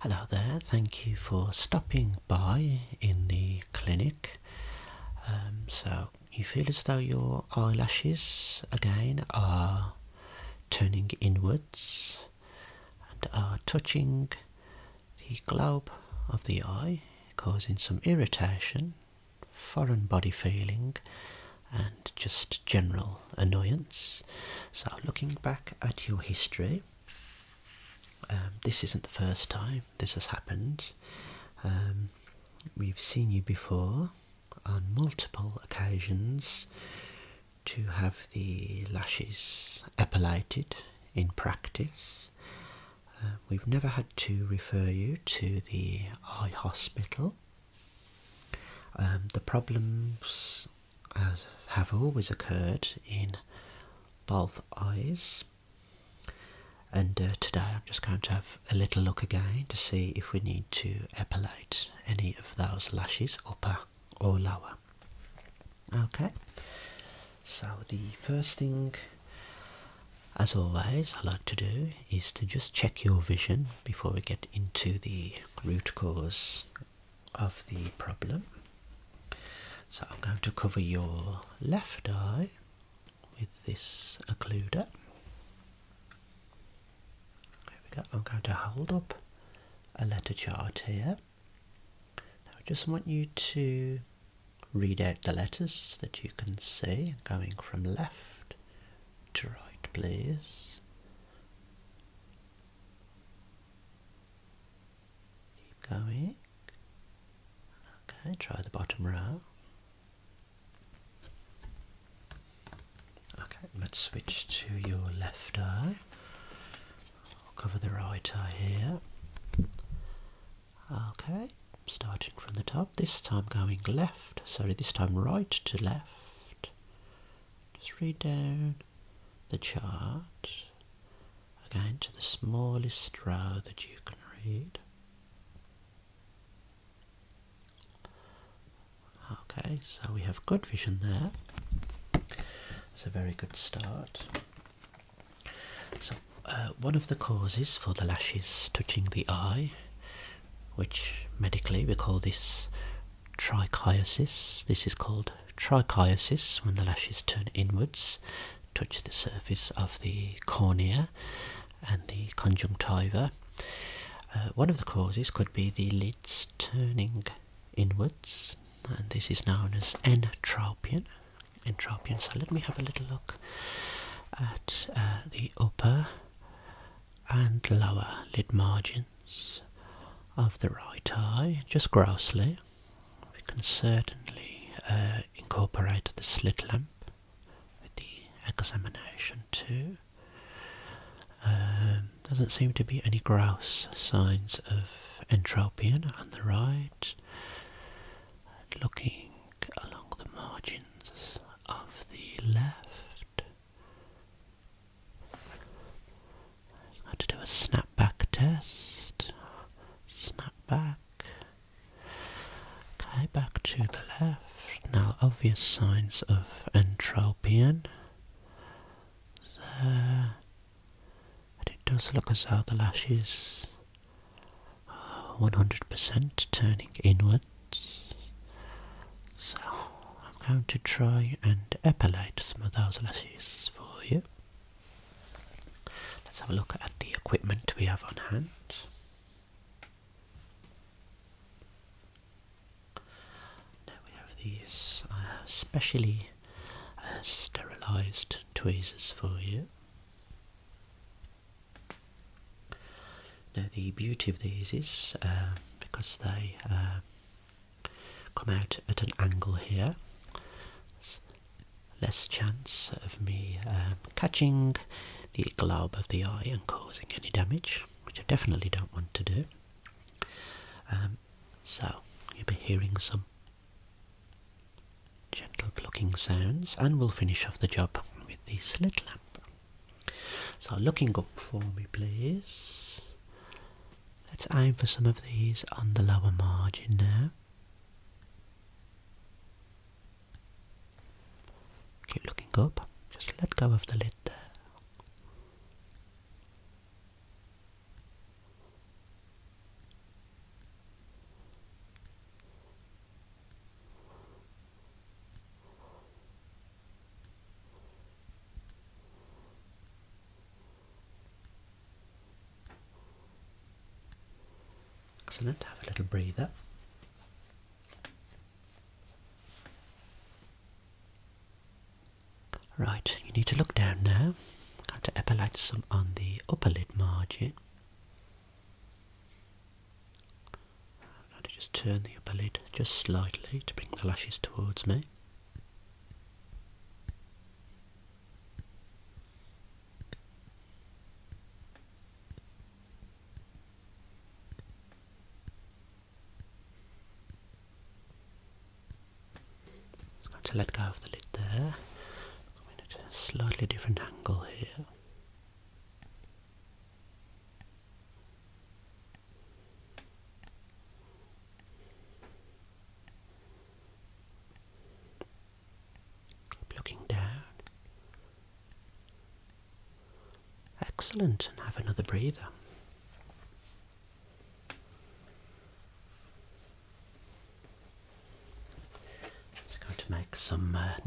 Hello there, thank you for stopping by in the clinic. Um, so, you feel as though your eyelashes again are turning inwards and are touching the globe of the eye, causing some irritation, foreign body feeling, and just general annoyance. So, looking back at your history, um, this isn't the first time this has happened. Um, we've seen you before on multiple occasions to have the lashes epilated in practice. Uh, we've never had to refer you to the eye hospital. Um, the problems have always occurred in both eyes. And uh, today I'm just going to have a little look again to see if we need to epilate any of those lashes, upper or lower. Okay, so the first thing, as always, I like to do is to just check your vision before we get into the root cause of the problem. So I'm going to cover your left eye with this occluder. There we go. I'm going to hold up a letter chart here. Now I just want you to read out the letters that you can see going from left to right please. Keep going. Okay, try the bottom row. Okay, let's switch to your left eye. I'll cover the right eye here. Okay, starting from the top, this time going left, sorry, this time right to left. Just read down, the chart again to the smallest row that you can read. Okay, so we have good vision there. It's a very good start. So, uh, one of the causes for the lashes touching the eye, which medically we call this trichiasis. This is called trichiasis when the lashes turn inwards, touch the surface of the cornea and the conjunctiva. Uh, one of the causes could be the lids turning inwards, and this is known as entropion. entropion. So let me have a little look at uh, the upper and lower lid margin of the right eye, just grossly. We can certainly uh, incorporate the slit lamp with the examination too. Um, doesn't seem to be any gross signs of entropion on the right. looking along the margins of the left, have to do a snapback test. Snap back. Okay, back to the left. Now, obvious signs of entropian. There. And it does look as though the lashes are 100% turning inwards. So I'm going to try and epilate some of those lashes for you. Let's have a look at the equipment we have on hand. Now we have these uh, specially uh, sterilised tweezers for you. Now the beauty of these is uh, because they come out at an angle here. less chance of me um, catching the glob of the eye and causing any damage, which I definitely don't want to do. Um, so you'll be hearing some gentle plucking sounds and we'll finish off the job with the slit lamp. So looking up for me please. Let's aim for some of these on the lower margin now. Keep looking up, just let go of the lid there. Excellent, have a little breather. Right, you need to look down now. I have to apply some on the upper lid margin. I'm going to just turn the upper lid just slightly to bring the lashes towards me. Just to let go of the lid there. Coming at a slightly different angle here. Looking down. Excellent, and have another breather. Just going to make some uh,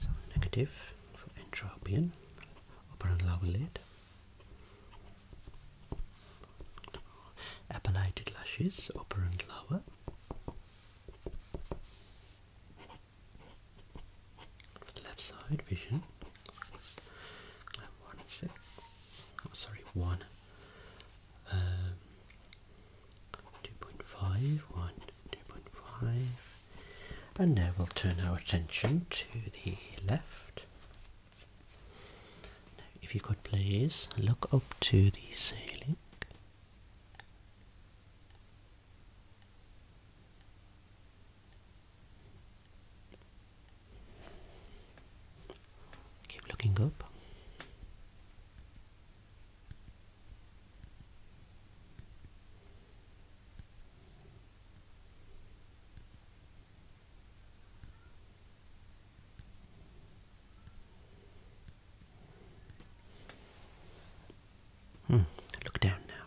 so negative for entropion, upper and lower lid, appellated lashes, upper and lower left side vision. And one six. Oh, sorry, one. Um, two point five. One. Two point five. And now we'll turn our attention to the left. Now, if you could please look up to the ceiling. Keep looking up. Hmm. look down now.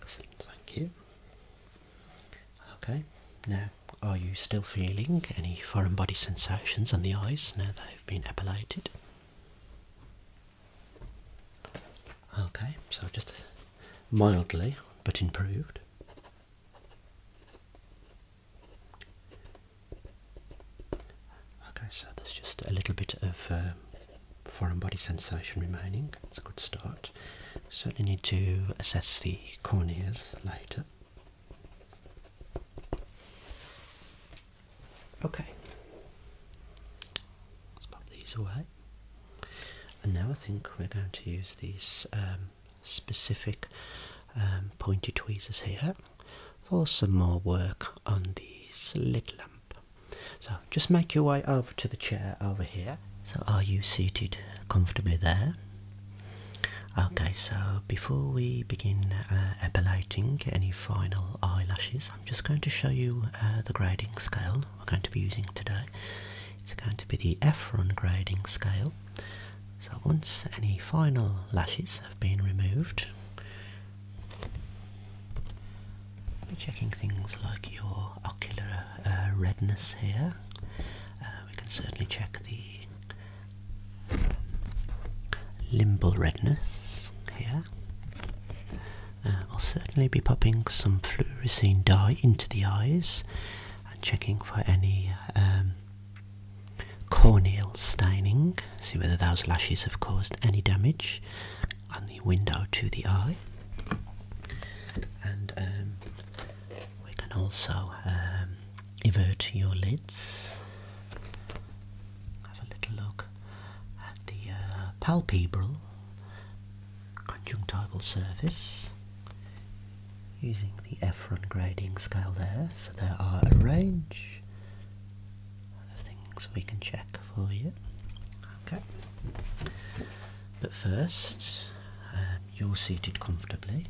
Excellent, thank you. Okay, now are you still feeling any foreign body sensations on the eyes now they've been epilated? Okay, so just mildly but improved. Okay, so there's just a little bit of um, foreign body sensation remaining. It's a good start. Certainly need to assess the corneas later. Okay, let's pop these away. And now I think we're going to use these um, specific um, pointed tweezers here for some more work on the slit lamp. So just make your way over to the chair over here. So are you seated comfortably there? Okay, so before we begin uh, epilating any final eyelashes, I'm just going to show you uh, the grading scale we're going to be using today. It's going to be the Ephron grading scale. So once any final lashes have been removed, we're checking things like your ocular uh, redness here. Uh, we can certainly check the um, limbal redness here. Uh, we'll certainly be popping some fluorescein dye into the eyes and checking for any um, corneal staining, see whether those lashes have caused any damage on the window to the eye. And um, we can also um, invert your lids. Have a little look at the uh, palpebral conjunctival surface using the Ephron grading scale there. So there are a range other things we can check for you. Okay. But first, uh, you're seated comfortably.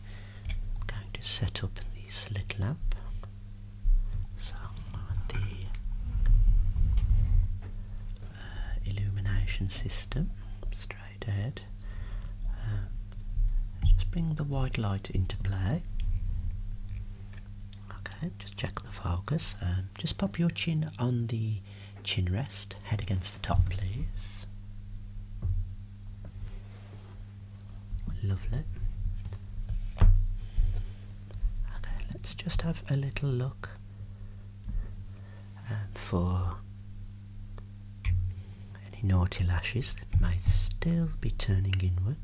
I'm going to set up the slit lamp. So the uh, illumination system straight ahead. Um, just bring the white light into play. Okay, just check the focus. Um, just pop your chin on the chin rest, head against the top, please. Lovely. Okay, let's just have a little look um, for any naughty lashes that might still be turning inwards.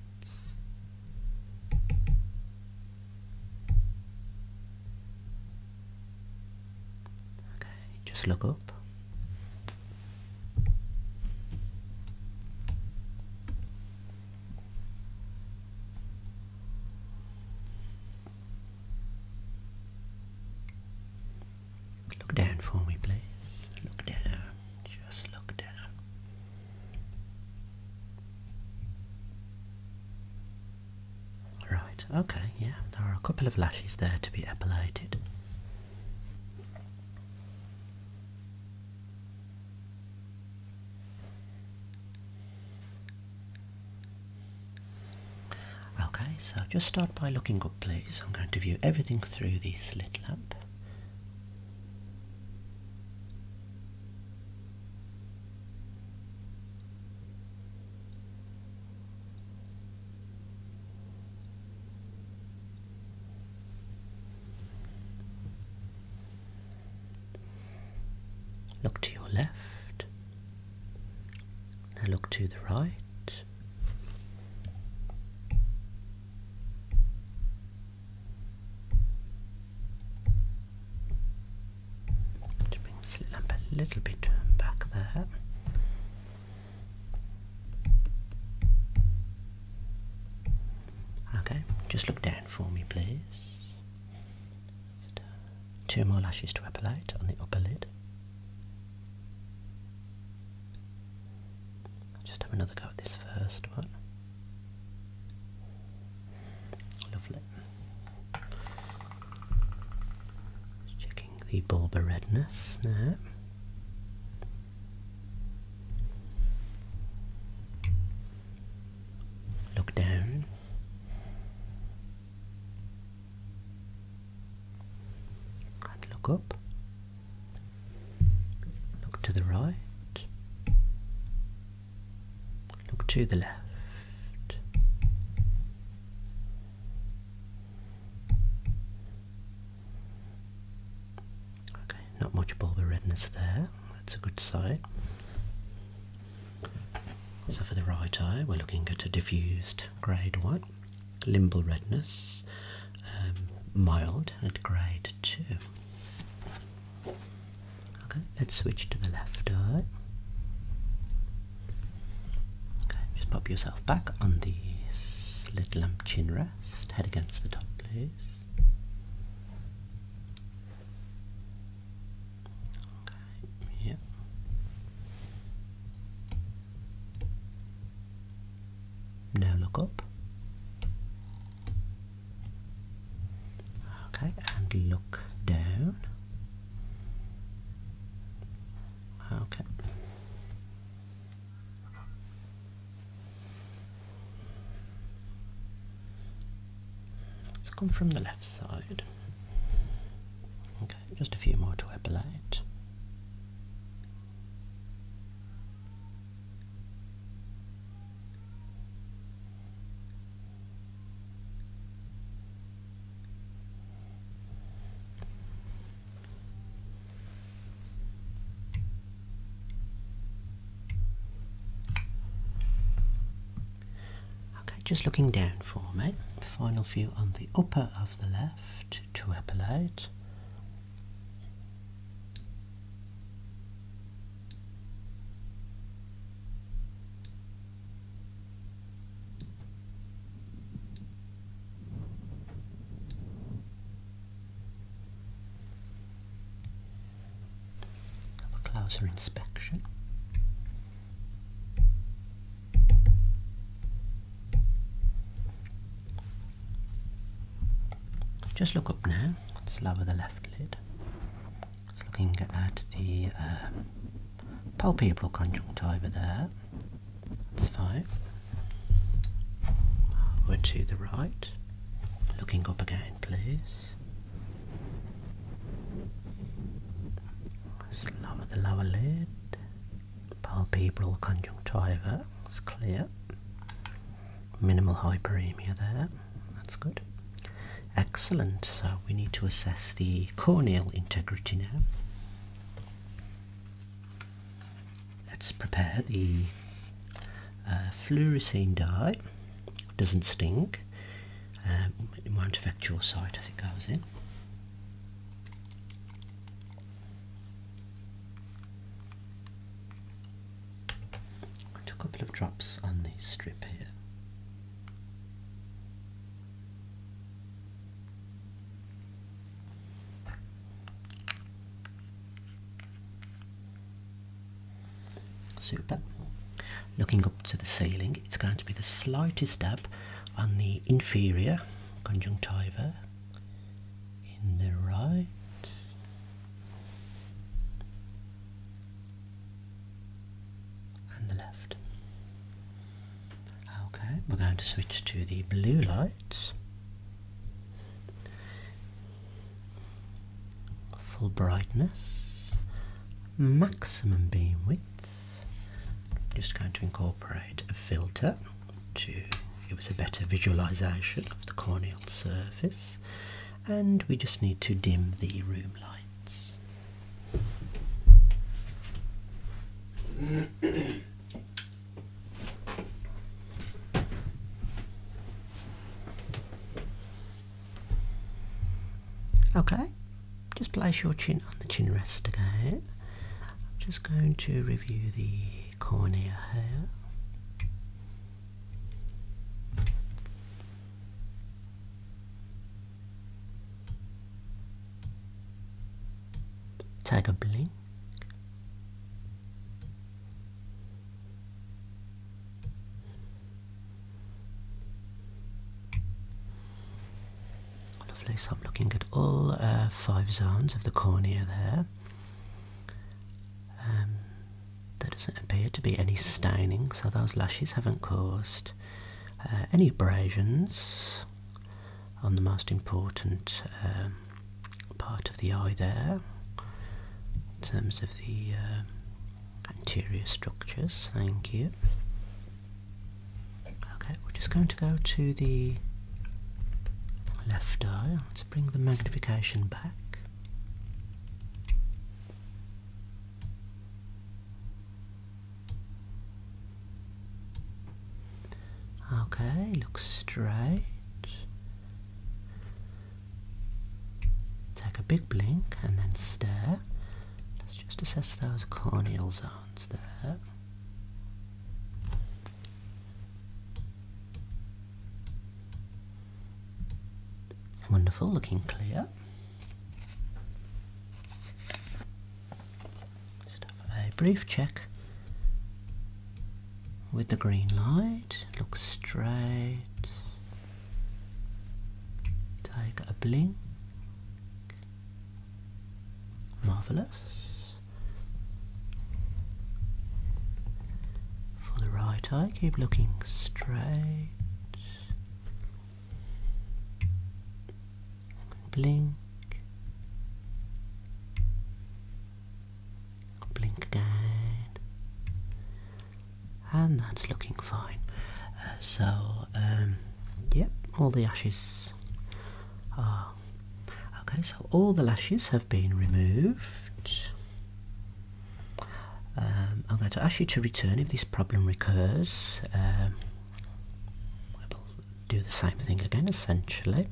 Okay, just look up. Look down for me, please. Look down. Just look down. Right, okay, yeah, there are a couple of lashes there to be epilated. Okay, so just start by looking up please. I'm going to view everything through the slit lamp. Look to your left. Now look to the right. Just bring this lamp a little bit back there. Okay, just look down for me, please. Two more lashes to apply appellate on the upper lid. just have another go at this first one. Lovely. checking the bulbar redness Look down. And look up. Look to the right. Look to the left. Okay, not much bulbar redness there. That's a good sign. So for the right eye, we're looking at a diffused grade 1, limbal redness, um, mild at grade 2. Okay, let's switch to the left eye. Okay, just pop yourself back on the slit lamp chin rest, head against the top, please. Okay, yeah. Now look up. Okay, and look down. Okay. Let's come from the left side. Okay, just a few more to epilate. Okay, just looking down for me. Final view on the upper of the left to epilate. Have a closer inspection. Just look up now now. Let's lower the left lid. looking at the um, palpebral conjunctiva there. That's fine. We're to the right. Looking up again, please. Let's the lower lid. Palpebral conjunctiva. It's clear minimal hyperemia there. That's good. Excellent. So we need to assess the corneal integrity now. Let's prepare the uh, fluorescein dye. Doesn't sting. Um, it won't affect your sight as it goes in. I a couple of drops on the strip here. Super. Looking up to the ceiling, it's going to be the slightest dab on the inferior conjunctiva in the right and the left. Okay, we're going to switch to the blue lights. Full brightness, maximum beam width. just going to incorporate a filter to give us a better visualization of the corneal surface and we just need to dim the room lights. okay, just place your chin on the chin rest again. I'm just going to review the cornea here. Tag a blink. Lovely, so I'm looking at all uh, five zones of the cornea there. Um, there doesn't appear to be any staining, so those lashes haven't caused uh, any abrasions on the most important um, part of the eye there, in terms of the um, anterior structures, thank you. Okay, we're just going to go to the left eye, let's bring the magnification back. Okay, look straight. Take a big blink and then stare. Let's just assess those corneal zones there. Wonderful, looking clear. Just a brief check with the green light. Look straight. Take a blink. Marvellous for the right eye. Keep looking straight. Blink. Blink again. And that's looking fine. Uh, so, um, yep, all the lashes are. Okay, so all the lashes have been removed. Um, I'm going to ask you to return if this problem recurs. Um, we'll do the same thing again essentially.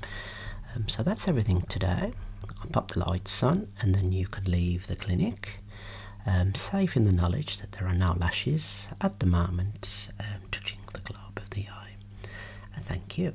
Um, so that's everything today. I'll pop the lights on and then you can leave the clinic. Um, safe in the knowledge that there are no lashes at the moment touching the globe of the eye. thank you.